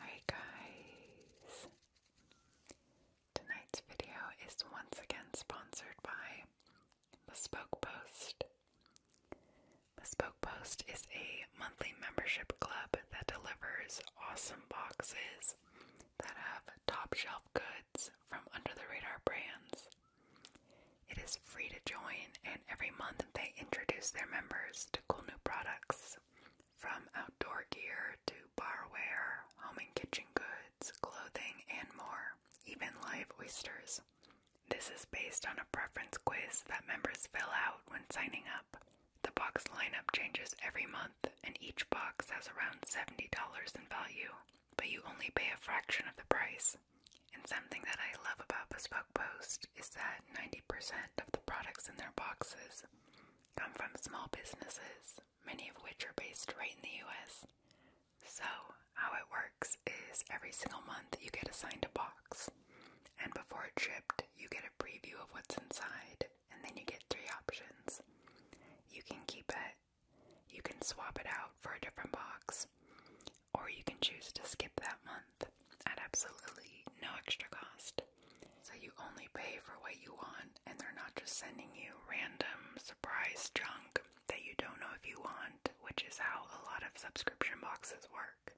Hi guys! Tonight's video is once again sponsored by Bespoke Post. Bespoke Post is a monthly membership club that delivers awesome boxes that have top shelf goods from under the radar brands. It is free to join, and every month they introduce their members to cool new products from outdoor gear to barware, home and kitchen goods, clothing, and more, even live oysters. This is based on a preference quiz that members fill out when signing up. The box lineup changes every month, and each box has around $70 in value, but you only pay a fraction of the price. And something that I love about Bespoke Post is that 90% of the products in their boxes come from small businesses, many of which are based right in the US. So, how it works is every single month you get assigned a box, and before it's shipped, you get a preview of what's inside, and then you get three options. You can keep it, you can swap it out for a different box, or you can choose to skip that month at absolutely no extra cost. So you only pay for what you want, and they're not just sending you random surprise junk that you don't know if you want, which is how a lot of subscription boxes work.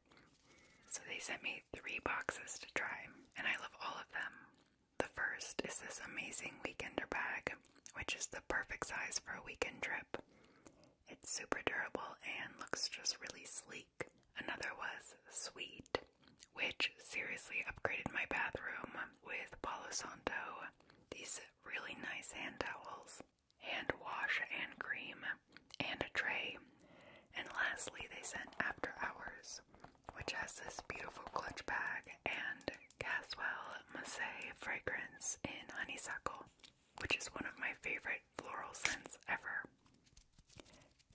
So they sent me three boxes to try, and I love all of them. The first is this amazing weekender bag, which is the perfect size for a weekend trip. It's super durable and looks just really sleek. Another was Sweet, which seriously upgraded my bathroom with Palo Santo. These really nice hand towels, hand wash and cream, and a tray. And lastly, they sent After Hours, which has this beautiful clutch bag and Caswell Massey fragrance in honeysuckle, which is one of my favorite floral scents ever.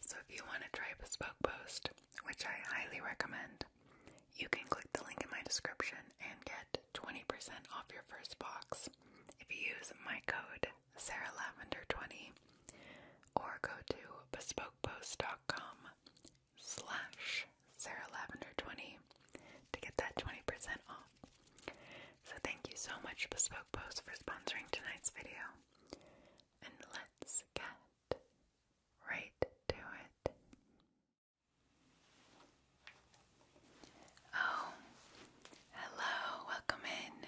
So if you want to try Bespoke Post, which I highly recommend, you can click the link in my description and get 20% off your first box if you use my code SarahLavender20 or go to bespokepost.com slash SarahLavender20 to get that 20% off. So thank you so much, Bespoke Post, for sponsoring tonight's video. And let's get right to it. Oh, hello, welcome in.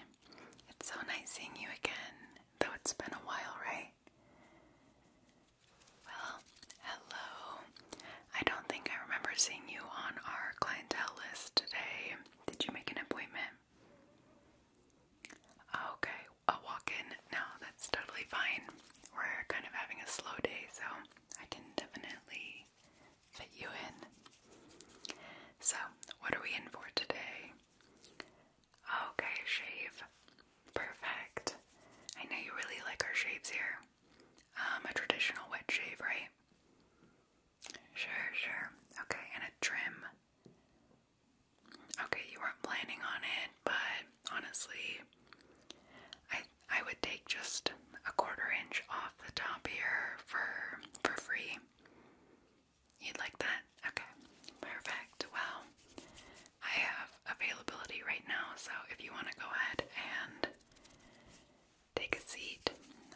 It's so nice seeing you again, though it's been a while, right? Well, hello. I don't think I remember seeing you on our clientele list today. Did you make an appointment? Oh, okay, a walk in. No, that's totally fine. We're kind of having a slow day, so I can definitely fit you in. So, what are we in for today? Okay, shave. Perfect. I know you really like our shaves here. Um, a traditional wet shave, right? Sure, sure. Okay, and a trim. Okay, you weren't planning on it, but honestly, I I would take just a quarter inch off the top here for for free. You'd like that? Okay. Perfect. Well, I have availability right now, so if you want to go ahead and Take a seat.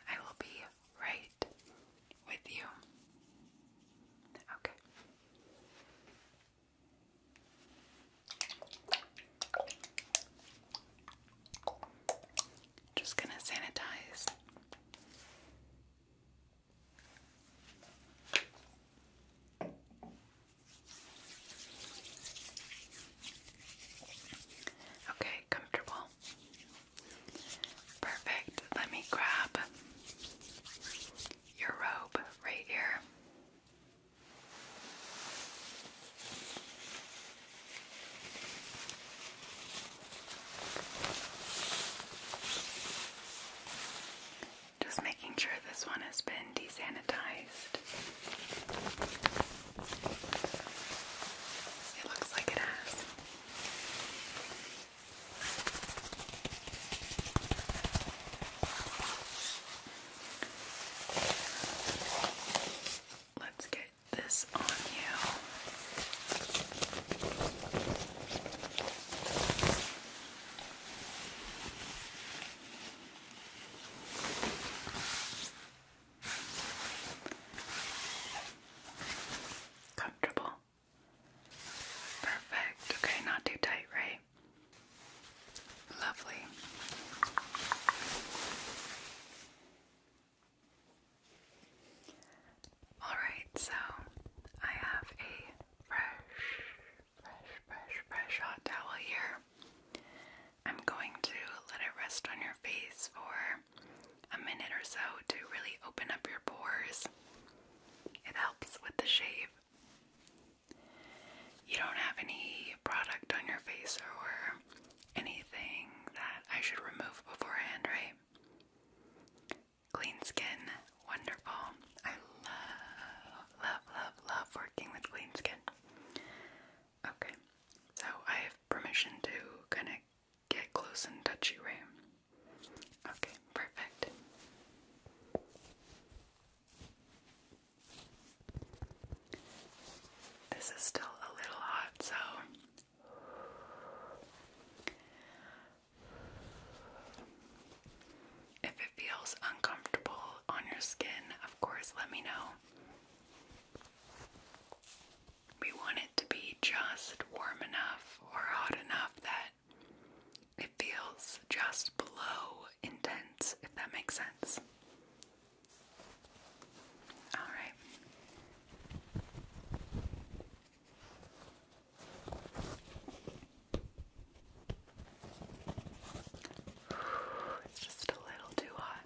I will be right with you. Okay. Just gonna sanitize. Okay, comfortable. Perfect. Let me grab your robe right here. Just making sure this one has been desanitized. It looks like it has. Let's get this on you. Comfortable. Perfect. Okay, not too tight, right? Lovely. Alright, so I have a fresh, fresh, fresh, fresh hot towel here. I'm going to let it rest on your face for a minute or so to really open up your pores. It helps with the shave. You don't have any product on your face or anything that I should remove beforehand, right? Clean skin, wonderful. I love, love, love, love working with clean skin. Okay, so I have permission to kind of get close and touch you, right? Okay, perfect. This is still a little hot, so if it feels uncomfortable on your skin, of course, let me know. We want it to be just warm enough or hot enough that it feels just below intense, if that makes sense. All right. It's just a little too hot.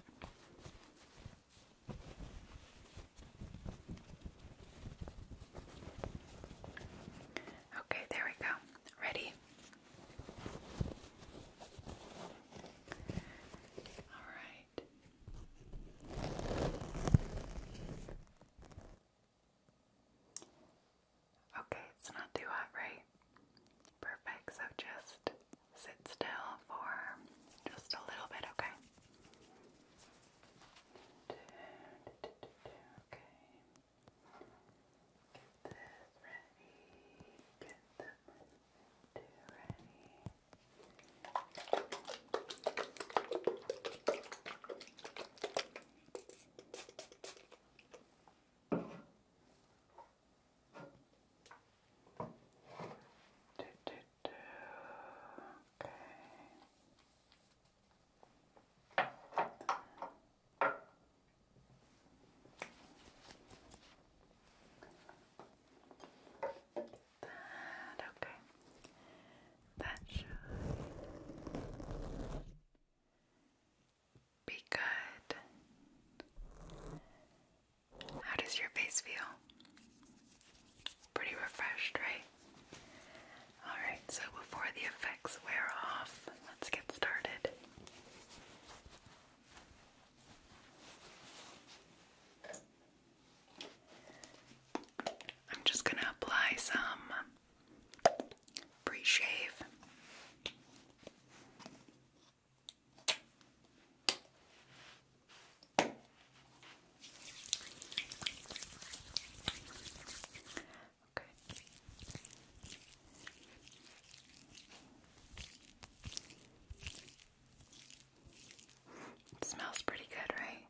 Okay, there we go. Ready? All right. Okay, it's not too hot, right? Perfect. So just sit still for just a little bit, okay? Okay. Get this ready. Get that ready. Do, do, Okay. That okay. That should be good. How does your face feel? Pretty refreshed, right? Alright, so before the effects wear off, let's get started. I'm just going to apply some pre shave smells pretty good, right?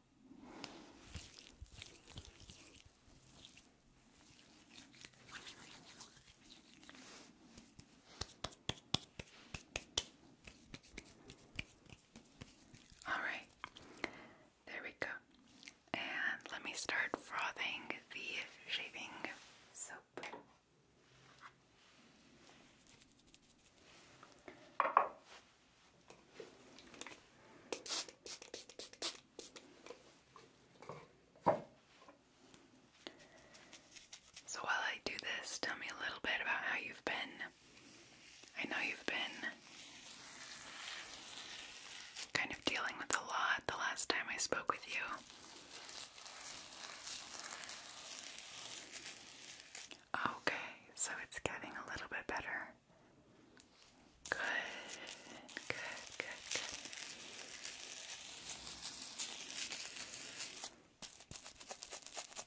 Alright, there we go. And let me start frothing the shaving soap. So while I do this, tell me a little bit about how you've been. I know you've been kind of dealing with a lot the last time I spoke with you. Okay, so it's getting a little bit better. Good, good, good,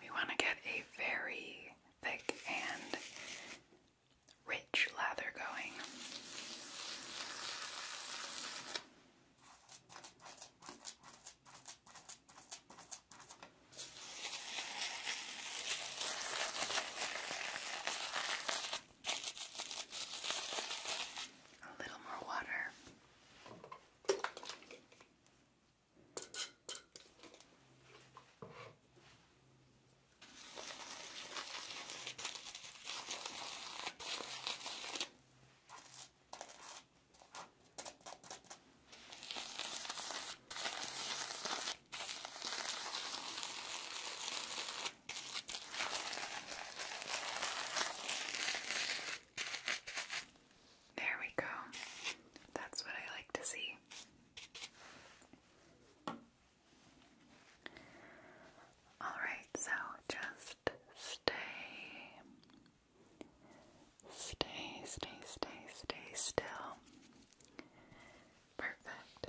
We want to get a very thick and rich lather going. A little more water. There we go. That's what I like to see. Alright, so just stay. Stay, stay, stay, stay still. Perfect.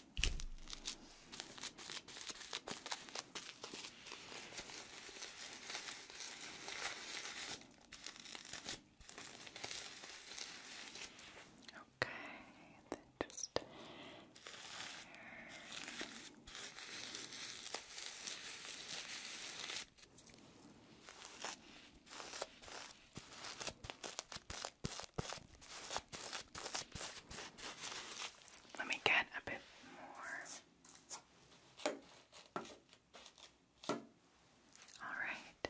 Okay, then just here. Okay. Let me get a bit more. All right.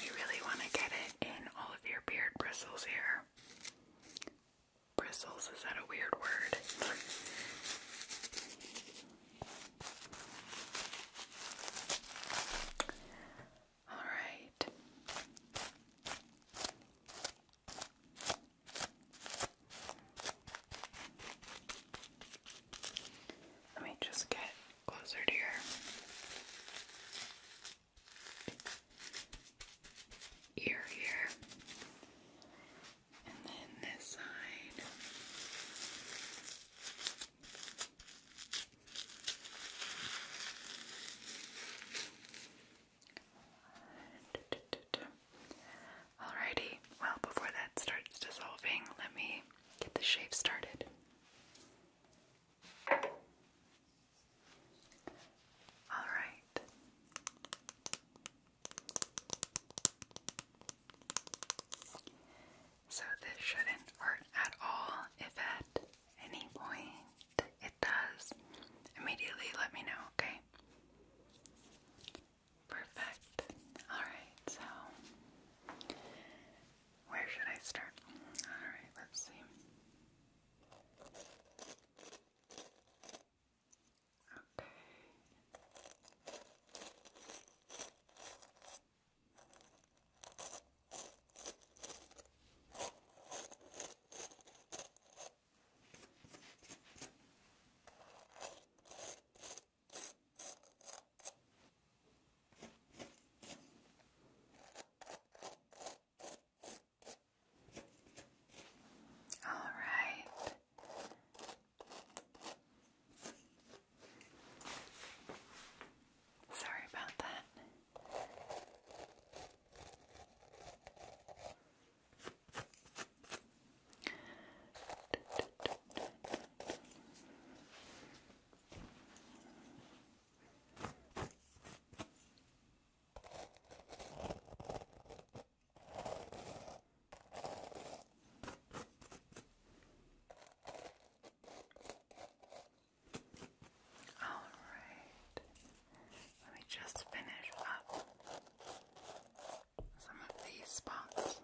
We really want to get it in all of your beard bristles here. Bristles, is that a weird word? all right. Let me just get closer to your. Ear here, and then this side. Alrighty, well, before that starts dissolving, let me get the shave started. All right. So this shouldn't hurt at all. If at any point it does, immediately let me know, okay? Perfect. Alright, so where should I start? Alright, let's see. Okay. All right. Sorry about that. All right, let me just finish up some of these spots.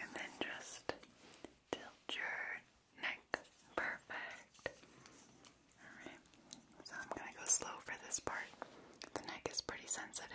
And then just tilt your neck. Perfect. Alright, so I'm going to go slow for this part. The neck is pretty sensitive.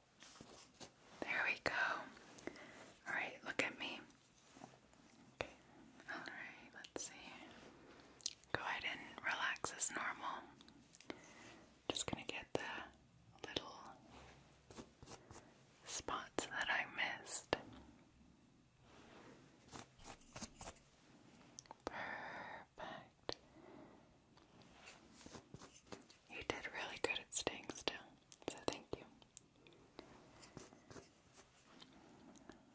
There we go. All right, look at me. Okay. All right, let's see. Go ahead and relax as normal. Just going to get the little spots that I missed. Perfect. You did really good at staying still, so thank you.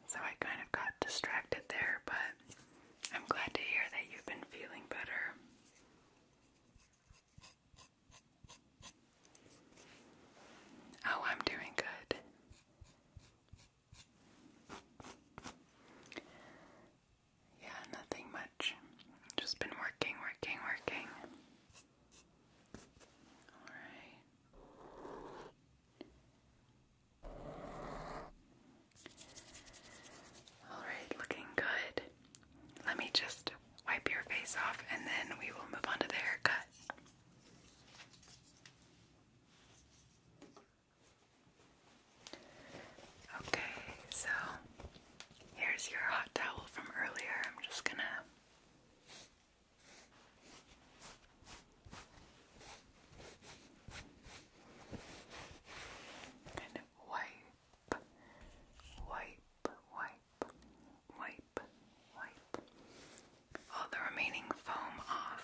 So I kind of got distracted there, but I'm glad to hear that you've been feeling better. Oh, I'm doing good. Yeah, nothing much. Just been working, working, working. Alright. Alright, looking good. Let me just wipe your face off and then we will move on to the haircut. Okay, so Here's your hot towel from earlier. I'm just gonna kind of wipe, wipe, wipe, wipe, wipe all the remaining foam off.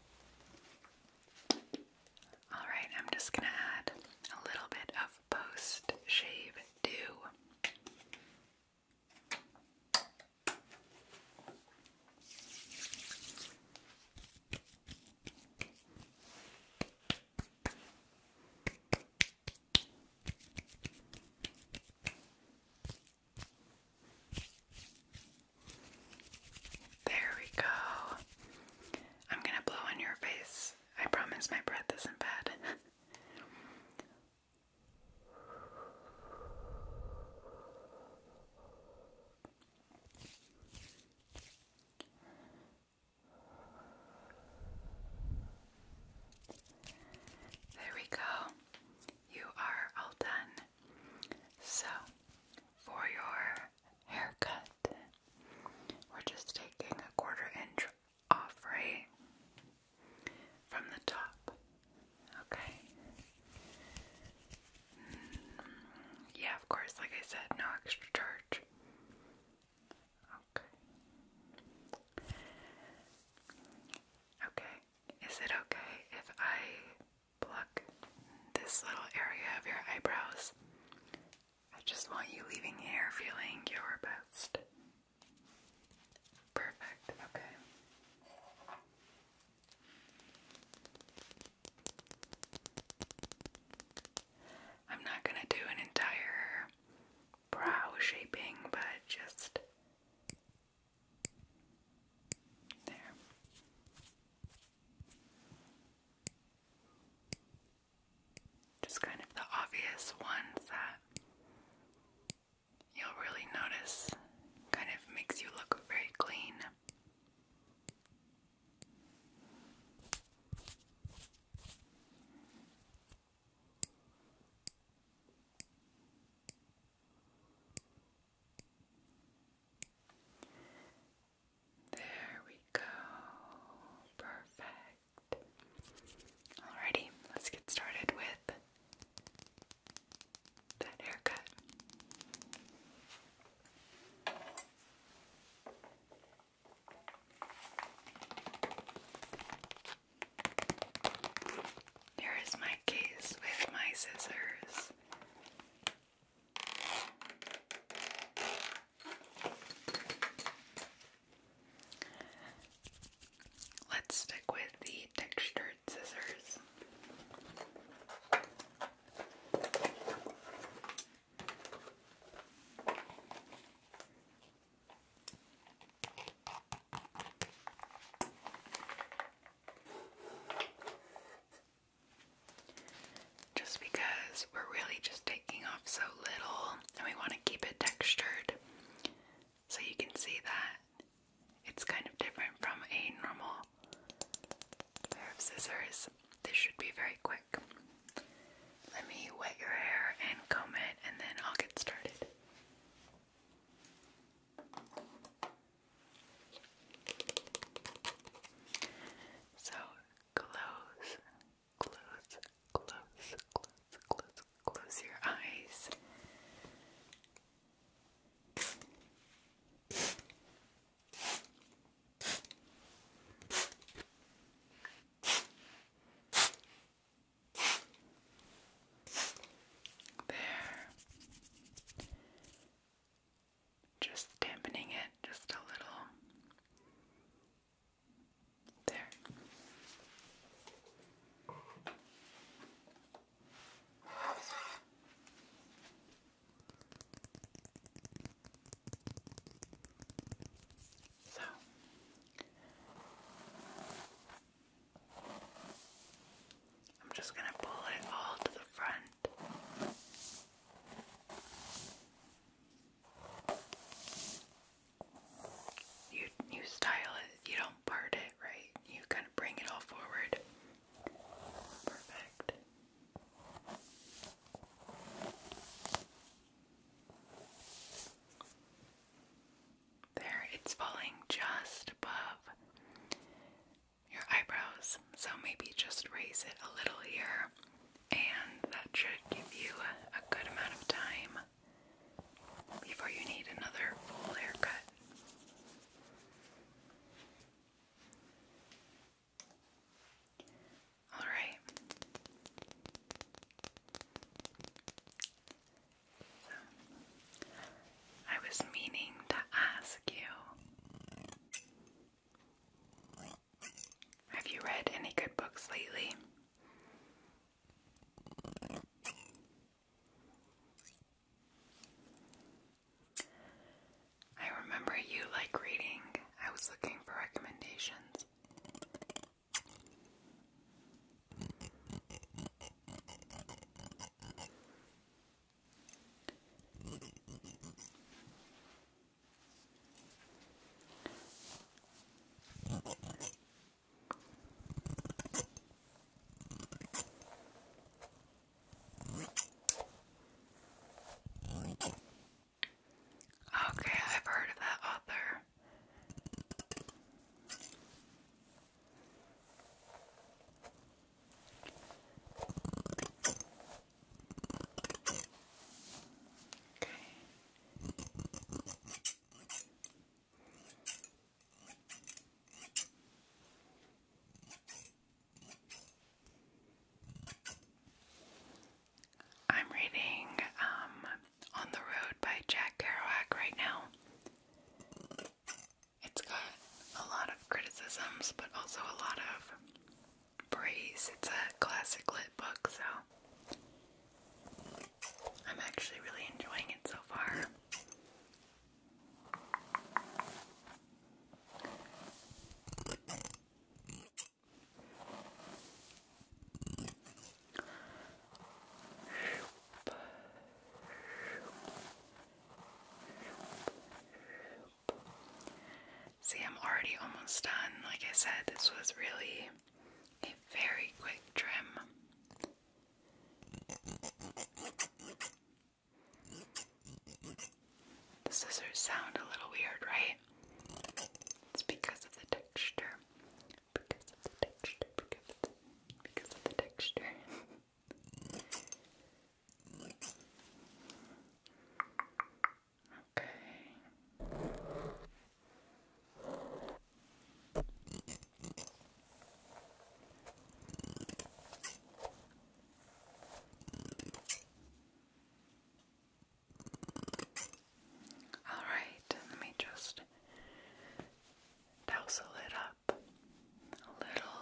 Alright, I'm just gonna add a little bit of post shave dew. There we go. I'm gonna blow on your face. I promise my breath isn't bad. There we go. You are all done. So, for your haircut, we're just taking a quarter inch off, right? From the top. Okay. Mm, yeah, of course, like I said, no extra charge. Okay. Okay. Is it okay if I pluck this little area of your eyebrows. I just want you leaving here feeling your best. Perfect, okay. I'm not going to do an entire brow shaping, but just there. Just kind of the obvious ones that you'll really notice kind of makes you look very clean. There we go. Perfect. Alrighty, let's get started with that haircut. Here is my case with my scissors. Let's stick with the textured scissors. Just because we're really just taking off so little and we want to keep it textured. So you can see that it's kind of different from a normal pair of scissors. This should be very quick. Let me wet your hair and comb it, and then I'll get started. So close, close, close, close, close, close your eyes. There. Just dampening it just a little. There. So I'm just going to pull it all to the front. You you style it. You don't part it, right? You kind of bring it all forward. Perfect. There, it's falling just above your eyebrows. So maybe just raise it a little here, and that should give you a, good amount of time before you need another full haircut. All right. I was meaning to ask you. Have you read any good books lately? I remember you like reading. I was looking for recommendations. Okay, I've heard of that author. I'm reading um, On the Road by Jack Kerouac right now. It's got a lot of criticisms, but also a lot of praise. It's a classic lit book, so I'm actually really enjoying it so far. See, I'm already almost done. Like I said, this was really a very quick trim. The scissors sound a little weird, right? It's because of the texture. Because of the texture. Because of the, texture. Okay. All right, let me just dousle it up a little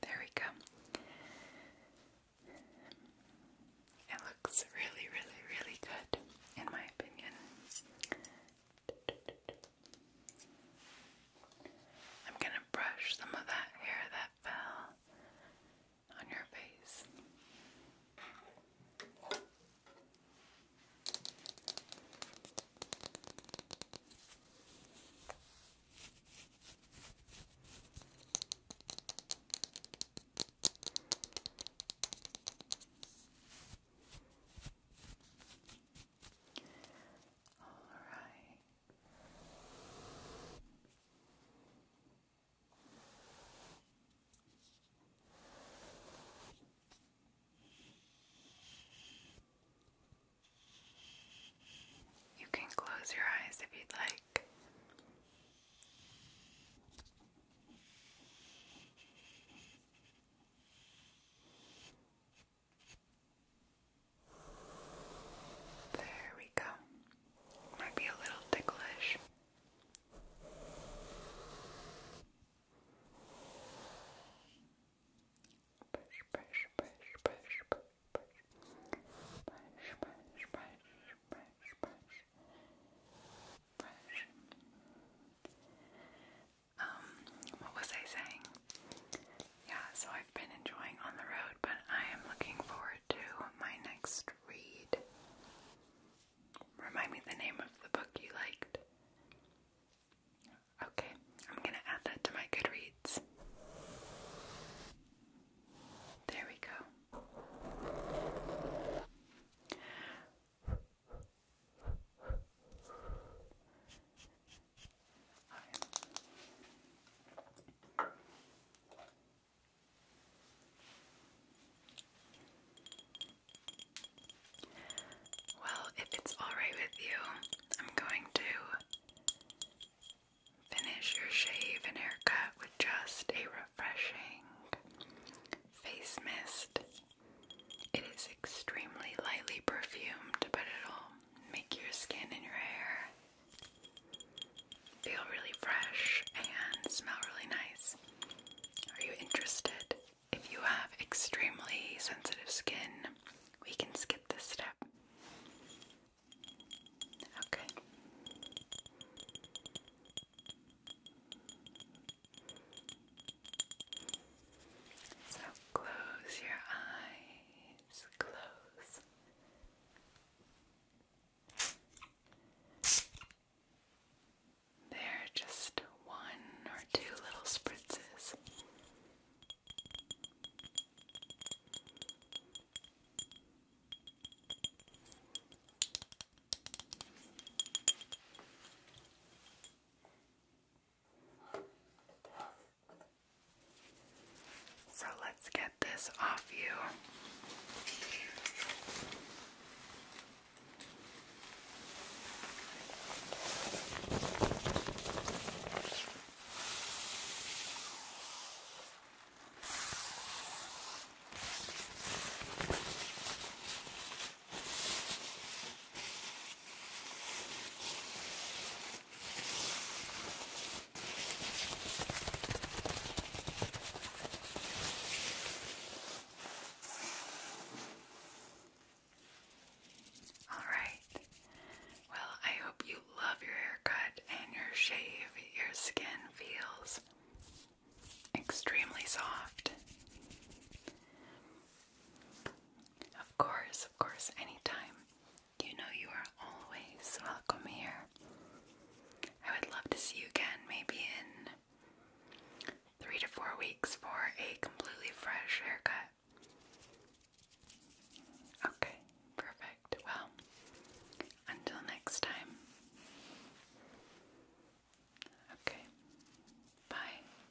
There we go. It looks really, really, really good, in my opinion. I'm going to brush some of that hair that fell on your face. All right. You can close your eyes if you'd like. There we go. Might be a little ticklish. Push, push, push, push, push, push, push, push, push, push, push, push um, what was I saying? Yeah, so I've been enjoying On the Road, but I am looking forward to my next read. Remind me the name of the book you liked. Okay, I'm gonna add that to my Goodreads. There we go. Well, if it's alright with you, I'm going to finish your shave and haircut with just a refreshing face mist. It is extremely lightly perfumed, but it'll make your skin and your hair feel really fresh and smell really nice. Are you interested? If you have extremely sensitive skin, we can skip this step. Okay. So close your eyes, close. They're just one or two little spritzes. So let's get this off you. All right. Well, I hope you love your haircut and your shave. Your skin feels extremely soft. Of course, of course, anytime. You know you are always welcome here. I would love to see you again, maybe in three to four weeks for a completely fresh haircut. Okay, perfect. Well, until next time. Okay, bye.